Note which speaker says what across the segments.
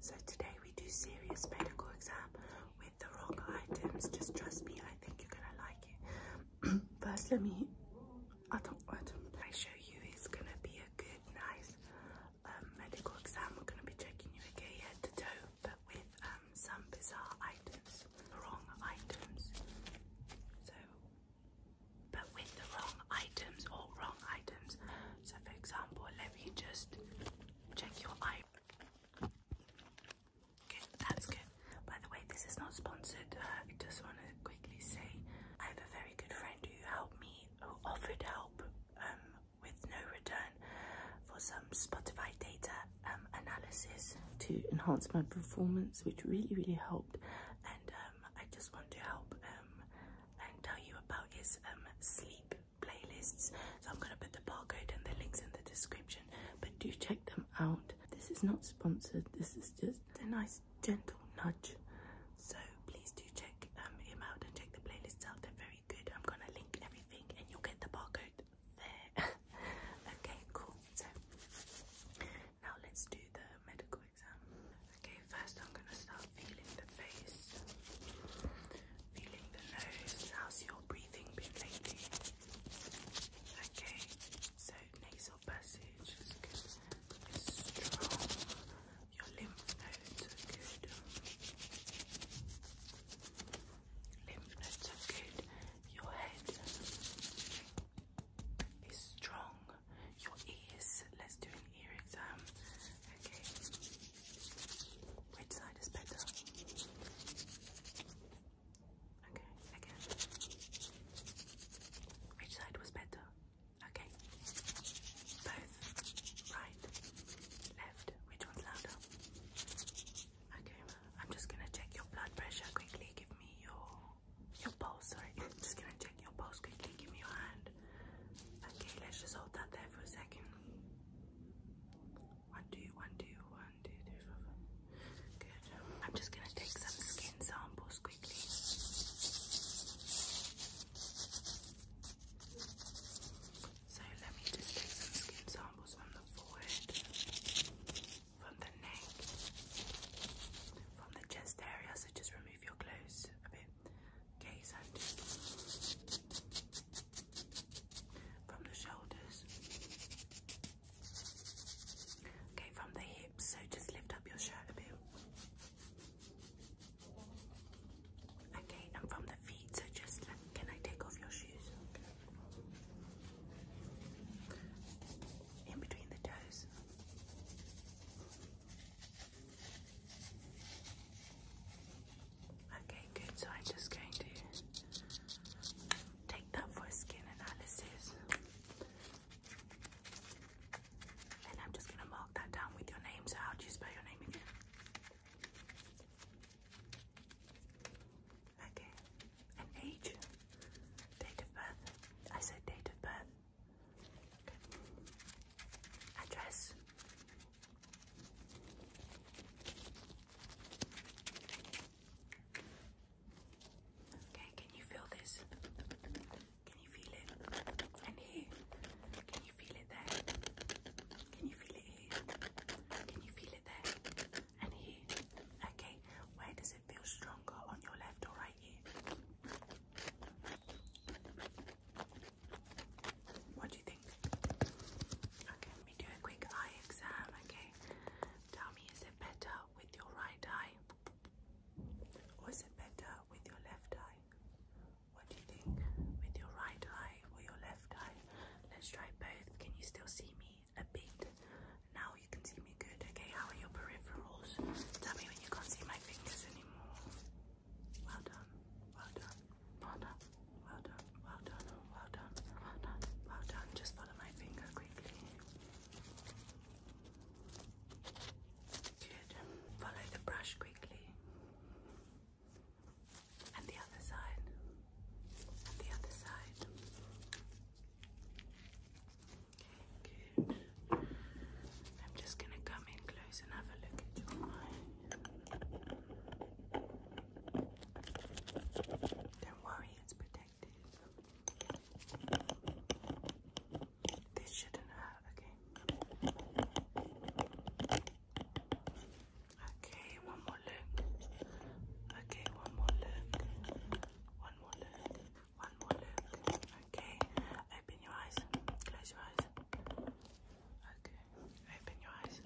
Speaker 1: So today we do serious medical exam with the wrong items. Just trust me, I think you're gonna like it. First, let me. I don't want to. I show you it's gonna be a good, nice um, medical exam. We're gonna be checking you again head to toe, but with um, some bizarre items, wrong items. So, but with the wrong items or wrong items. So, for example, let me just. Check your eye. Good, that's good. By the way, this is not sponsored. Uh, I just want to quickly say I have a very good friend who helped me, who offered help um, with no return for some Spotify data um,
Speaker 2: analysis
Speaker 1: to enhance my performance, which really, really helped. And um, I just want to help um, and tell you about his um, sleep playlists. So I'm going to put the barcode and the links in the description, but do check them out. This is not sponsored, this is just a nice gentle nudge. So please do check um, him out and check the playlists out. They're very good. I'm going to link everything and you'll get the barcode there. okay, cool. So now let's do the medical exam. Okay, first I'm gonna start feeling the face, feeling the nose. How's your breathing been lately? Okay, so nasal passage is good, it's strong. Your lymph nodes are good. Lymph nodes are good. Your head is strong. Your ears. Let's do an exam. Um, okay. Which side is better? Okay, again. Which side was better? Okay. Both. Right. Left. Which one's louder? Okay, I'm just gonna check your blood pressure quickly. Give me your your pulse, sorry. I'm just gonna check your pulse quickly. Give me your hand. Okay, let's just hold that there for a second. One, two, one, two, one, two, three, four, five. Good. I'm just gonna take some skin samples quickly. So let me just take some skin samples from the forehead, from the neck, from the chest area. So just remove your clothes a bit. Gaze at From the shoulders. Okay, from the hips. So just lift up your shirt a bit. Okay, and from the feet. So just can I take off your shoes? In between the toes. Okay, good. So I'm just going to take that for skin analysis. And I'm just going to mark that down with your name. So, how do you spell your name again? Okay. And age? Date of birth? I said date of birth. Address? Okay, can you feel this? Can you feel it? And here? Can you feel it there? Can you feel it here? Can you feel it there? And here? Okay, where does it feel stronger? On your left or right ear? What do you think? Okay, let me do a quick eye exam, okay? Tell me, is it better with your right eye? Or is it better with your left eye? What do you think? With your right eye or your left eye? Let's try both. Can you still see me a bit? Now you can see me good, okay? How are your peripherals? Tell me when you can't see my fingers anymore. Well done. Well done. Well done. Well done. Well done. Well done. Well done. Just follow my finger quickly. Good. Follow the brush quickly. And the other side. And the other side. Okay, good. I'm just gonna come in close and have a look at your eye. Don't worry, it's protected. This shouldn't hurt, okay? Okay, one more look. Okay, one more look. One more look. One more look. Okay, Open your eyes. Close your eyes. Okay. Open your eyes.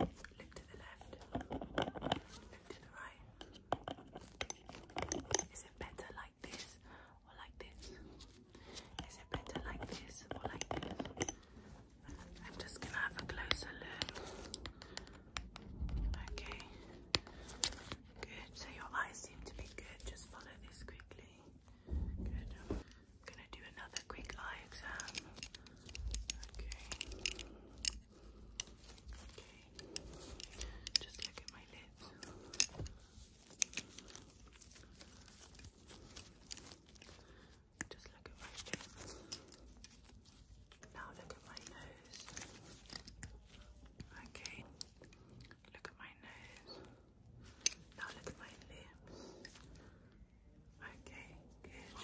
Speaker 1: Look to the left. Look to the right. Is it better like this or like this? Is it better like this or like this? I'm just gonna have a closer look. Okay. Good. So your eyes seem to be good. Just follow this quickly. I'm gonna do another quick eye exam. Okay. Okay. Just look at my lips. Just look at my lips. Now look at my nose. Okay. Look at my nose. Now look at my lips. Okay, good.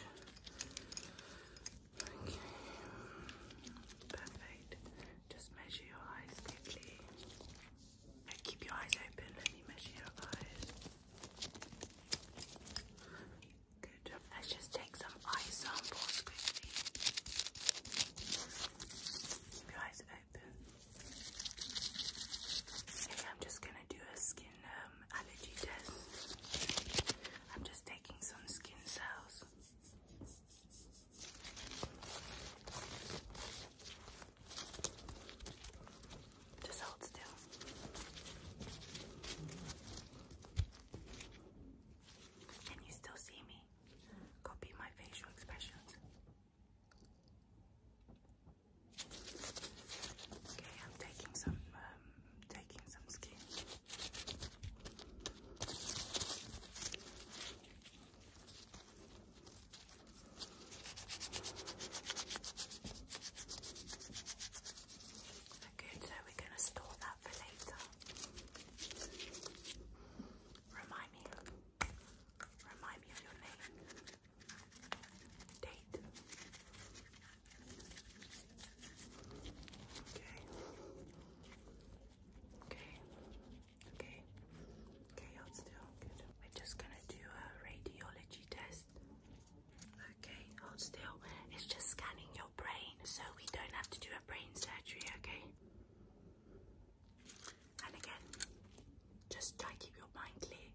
Speaker 1: perfect. Just measure your eyes quickly. Uh, keep your eyes open. Let me measure your eyes. Good. Let's just take some eye samples quickly. Keep your eyes I'm just gonna do a skin um, allergy test. I'm just taking some skin cells. Just hold still. Can you still see me? Copy my facial expressions. Okay, I'm taking some, um, taking some skin. Good, so we're going to store that for later. Remind me Remind me of your name. Date. Okay. Okay. Okay. Okay, hold still. We're just gonna do a radiology test. Okay, hold still. It's just scanning your brain, so we don't have to do a brain surgery, okay? And again, just try keep your mind clear.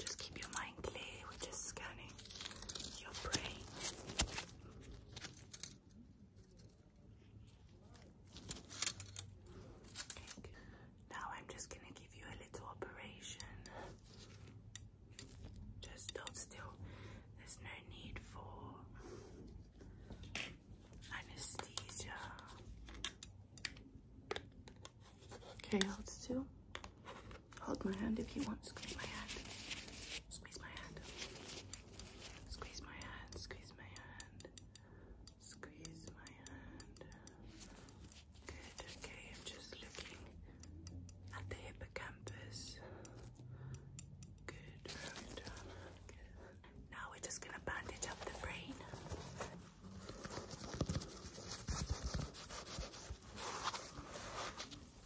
Speaker 1: Just keep your mind clear, we're just scanning your brain. Okay, now I'm just going to give you a little operation just don't still. There's no need for anesthesia. Okay, let's do. Hold my hand if you want. Squeeze my hand. Squeeze my hand. Squeeze my hand. Squeeze my hand. Squeeze my hand. Good. Okay, I'm just looking at the hip now we're just gonna bandage up the brain.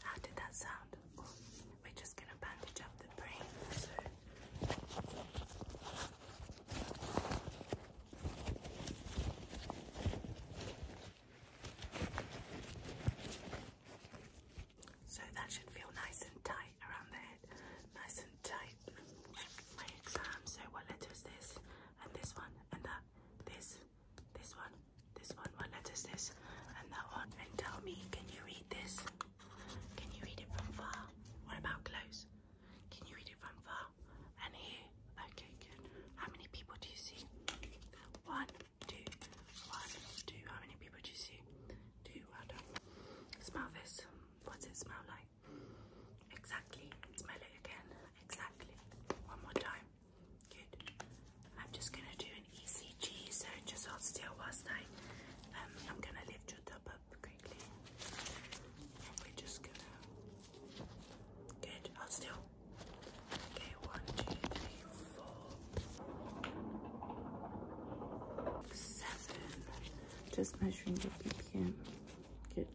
Speaker 1: How did that sound? we're just gonna bandage up the brain. So that should feel nice and tight around the head. Nice and tight. My exam. So what letter is this? And this one. And that. This. This one. This one. What letter is this? And that one. And tell me, can you read this? Can you read it from far? What about close? Can you read it from far? And here. Okay, good. How many people do you see? One, Two. How many people do you see? Two. Well Smell this. What does it smell like? Exactly. Smell it again. Exactly. One more time. Good. I'm just gonna do an ECG, so just hold still whilst I um I'm gonna lift your top up quickly. we're just gonna good, hold still one, two, three, four, seven. Just measuring your BPM. Good.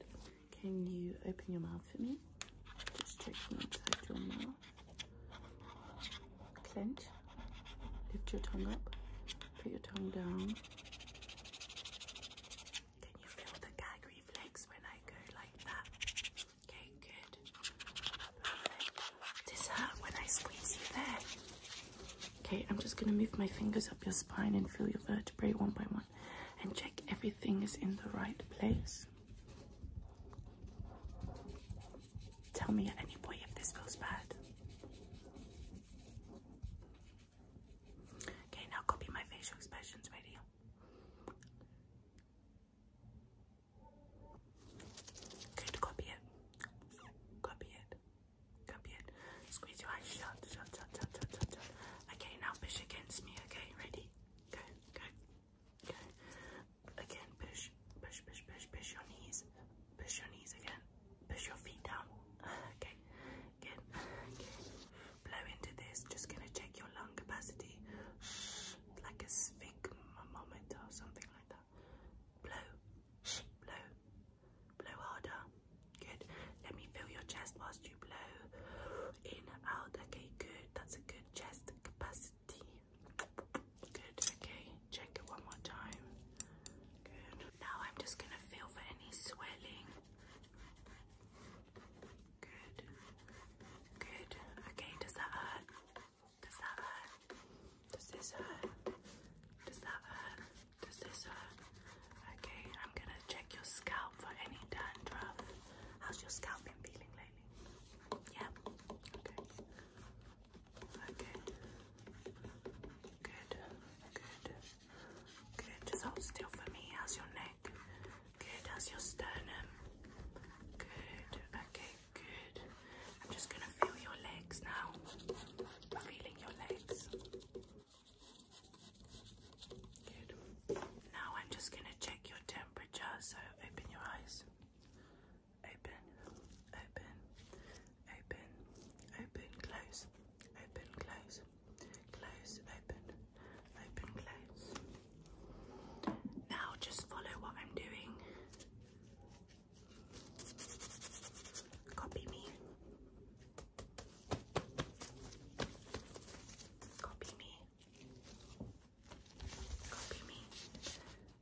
Speaker 1: Can you open your mouth for me? Just check inside your mouth. Clench. Lift your tongue up. Put your tongue down. Can you feel the gag reflex when I go like that? Okay, good. Perfect. Does hurt when I squeeze you there? Okay, I'm just gonna move my fingers up your spine and feel your vertebrae one by one and check everything is in the right place. Tell me at any point if this feels bad. Okay, now copy my facial expressions, ready? Good, copy it. Copy it. Copy it. Squeeze your eyes Okay, now push against me, okay? Ready? Go, go, go. Again, push, push, push, push, push your knees. Push your knees again. Push your feet down. Okay, again, again. Blow into this. Just gonna check your lung capacity. like a sphere think or something like that. Blow, blow, blow harder. Good. Let me feel your chest whilst you blow. In, out. Okay, good. That's a good chest capacity. Good. Okay, check it one more time. Good. Now I'm just gonna feel for any swelling. Good. Good. Okay, does that hurt? Does that hurt? Does this hurt? Does that hurt? Does this hurt? Okay, I'm gonna check your scalp for any dandruff. How's your scalp been feeling lately? Yeah? Okay. Okay. Good. Good. Good. Just hold still for me. How's your neck? Good. How's your sternum? Good. Okay. Good. I'm just going to feel your legs now. Feeling your legs. Good. Now I'm just going to check your temperature. So open your eyes. Open, open, open, open, close, open, close, close, open, open, close. Now just follow what I'm doing. Copy me. Copy me. Copy me.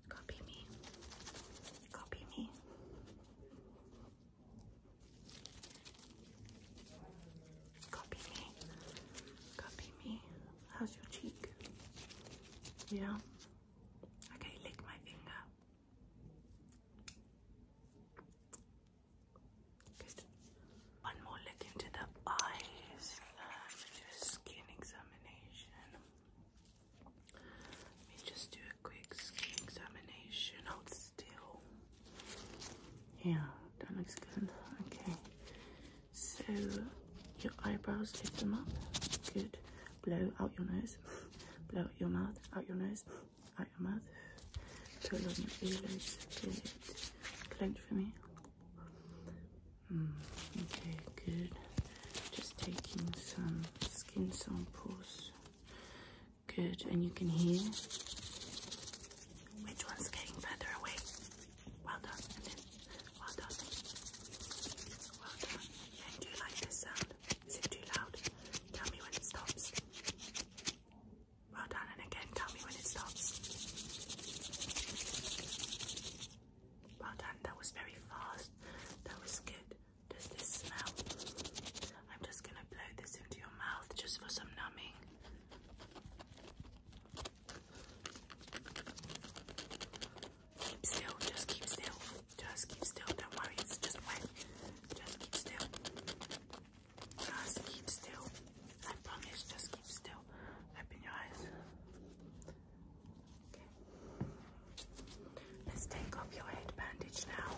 Speaker 1: Copy me. Copy me. Copy me. Copy me. How's your cheek? Yeah. Okay, lick my finger. one more look into the eyes. Let uh, skin examination. Let me just do a quick skin examination. Hold still. Yeah, that looks good. Okay. So your eyebrows lift them up. Good. Blow out your nose. Blow out your mouth. Out your nose. Out your mouth. Pull on your eyelids. Good. Clench for me. Mm, okay, good. Just taking some skin samples. Good. And you can hear which one's getting further away. Well done. well done. Well done. do you like this sound? Is it too loud? Tell me when it stops. Well done. And again, tell me when it stops. Well done. That was very fast. That was good. Does this smell? I'm just going to blow this into your mouth just for some numbing. Keep still, just keep still. Just keep still. Don't worry, it's just wet. Just keep still. Just keep still. I promise, just keep still. Open your eyes. Okay. Let's take off your head bandage now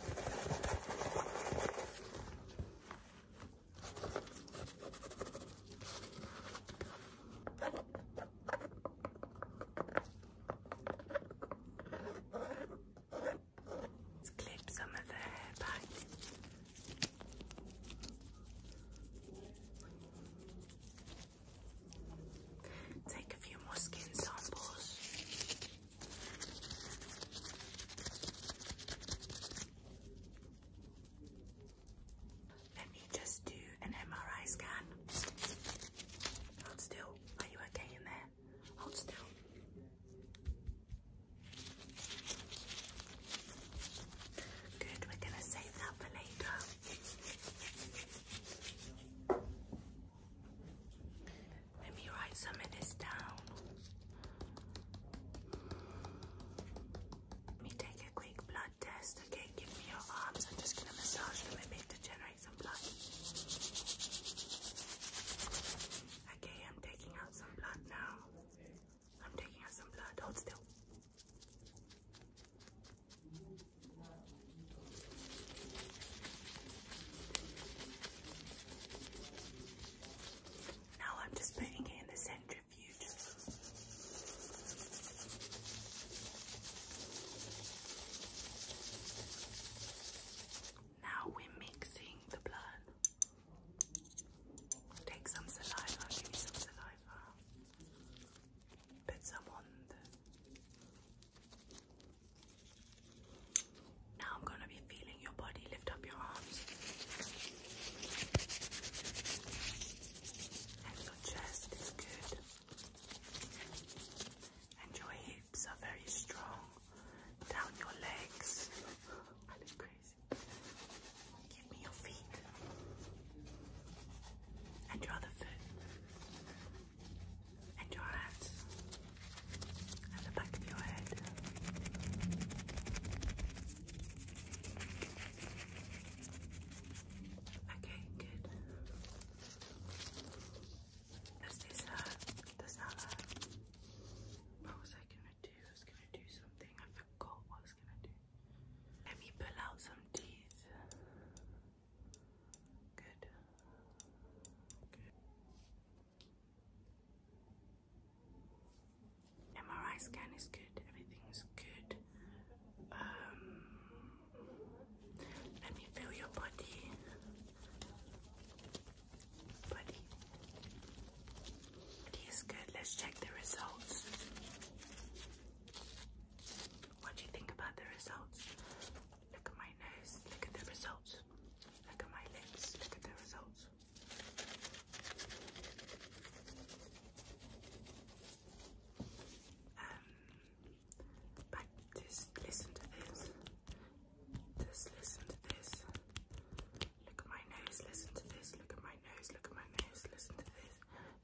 Speaker 1: clip some of the hair back. Take a few more skin samples. Let me just do an MRI scan. Hold still. Are you okay in there? Hold still. Good, we're going to save that for later. Let me write some of this down. Let me take a quick blood test. Okay, give me your arms. I'm just gonna massage them a bit to generate some blood. Okay, I'm taking out some blood now. I'm taking out some blood. Hold still. Now I'm just putting it in the center now we're mixing the blood. Take some saliva, give me some saliva. Put some on Now I'm going to be feeling your body. Lift up your arms. And your chest is good. And your hips are very strong. Down your legs. I look crazy. Give me your feet. And your other foot. And your hands. And the back of your head. Okay, good. Does this hurt? Does that hurt? What was I gonna do? was gonna do something. I forgot what was gonna do. Let me pull out some teeth. Good. Good.
Speaker 2: MRI scan is good,
Speaker 1: everything's good. Um, let me feel your body. Body. He's good. Let's check the results. What do you think about the results? Look at my nose. Look at the results. Look at my lips. Look at the results. Um, but just listen to this. Just listen to this. Look at my nose. Listen to this. Look at my nose. Look at my nose. Listen to this.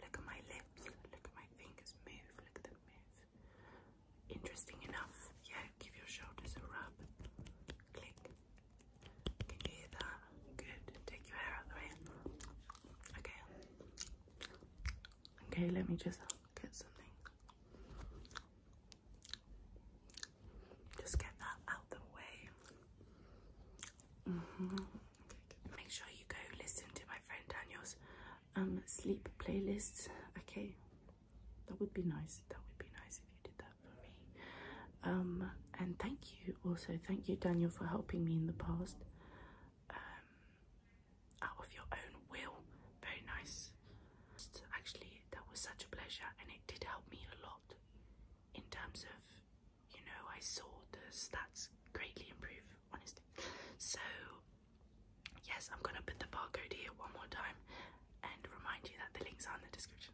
Speaker 1: Look at my lips. Look at my fingers move. Look at them move. Interesting enough. Yeah, give your shoulders a rub. Click, can hear that? Good. Take your hair out the way. Okay. Okay, let me just get something. Just get that out the way. Mm-hmm. Make sure you go listen to my friend Daniel's um sleep playlist. Okay. That would be nice. That would be nice if you did that for me. Um and thank you also thank you Daniel for helping me in the past um, out of your own will very nice actually that was such a pleasure and it did help me a lot in terms of you know I saw the stats greatly improve so yes I'm gonna put the barcode here one more time and remind you that the links are in the description